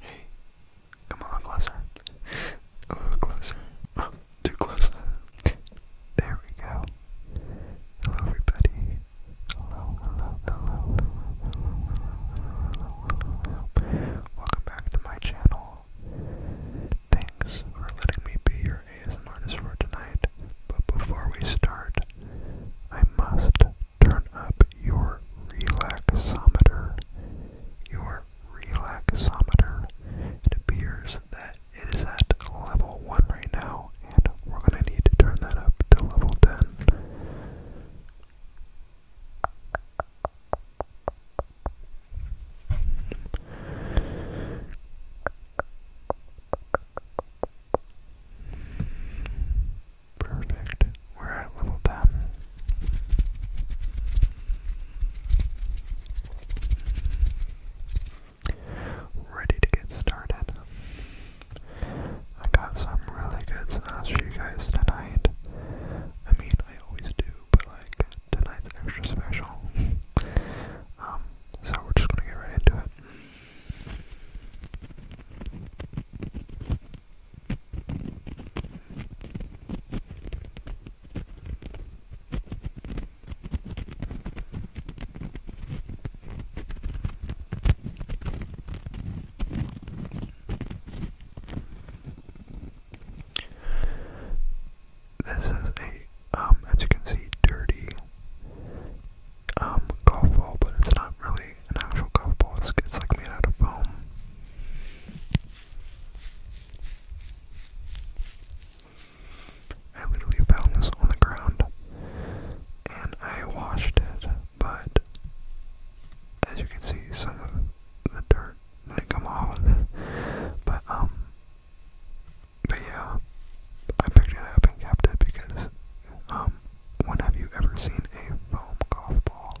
Hey, come on closer. A little closer. Oh, too close. There we go. Hello, everybody. Hello, hello, hello, hello, hello, hello, Welcome back to my channel. Thanks for letting me be your ASM artist for tonight. But before we start, I must turn up your relaxometer. Your relaxometer. It appears that it is at level 1 right now, and we're going to need to turn that up to level 10. Perfect. We're at level 10. Ready to get started. I got some really good sauce for you guys tonight. I mean, I always do, but like, tonight's extra special. um, so we're just gonna get right into it. This is a, um, as you can see, dirty um, golf ball, but it's not really an actual golf ball. It's, like made out of foam. I literally found this on the ground and I washed it, but as you can see, some of the dirt didn't come off. But, um, but yeah, I picked it up and kept it because, um, when have you ever seen a foam golf ball?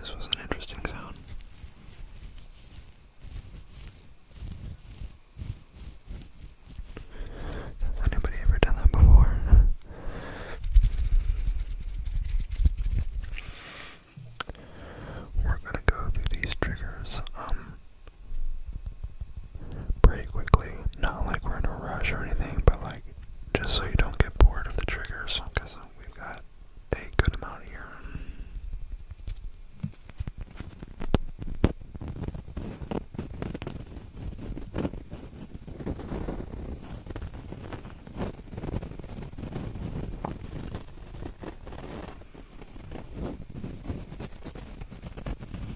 This was an interesting sound. Has anybody ever done that before? We're gonna go through these triggers. Um, pretty quickly. Not like we're in a rush or anything, but like just so you don't get bored of the triggers, because we've got a good amount here.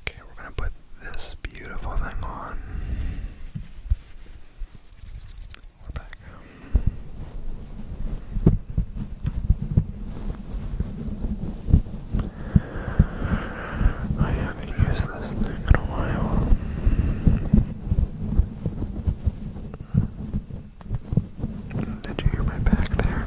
Okay, we're going to put this beautiful thing on. We're back. I haven't used this thing in a while. Did you hear my back there?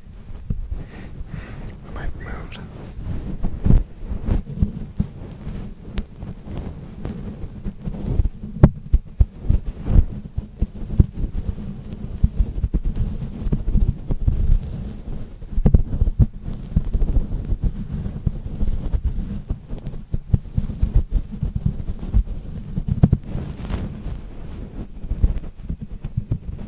We might move. All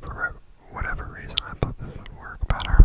For whatever reason, I thought this would work better.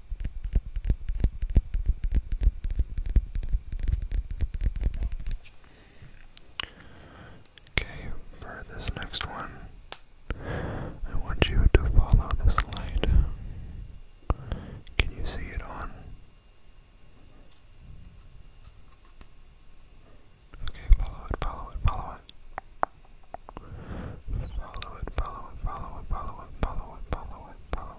Okay, for this next one, I want you to follow this light. Can you see it on? Okay, follow it, follow it, follow it. Follow it, follow it, follow it, follow it, follow it, follow it,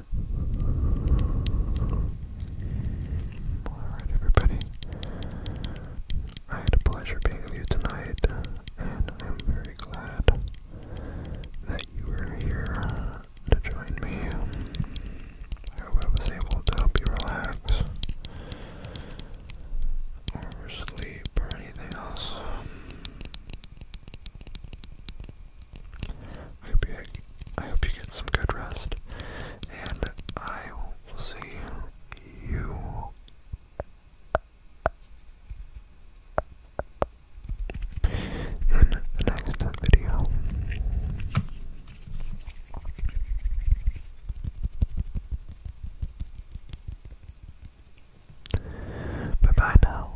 Alright, everybody. I had a pleasure being with you tonight, and I'm very glad that you were here to join me. I hope I was able to help you relax, or sleep, or anything else. I hope you, get some good rest, and I will see you in the next video. Bye bye now.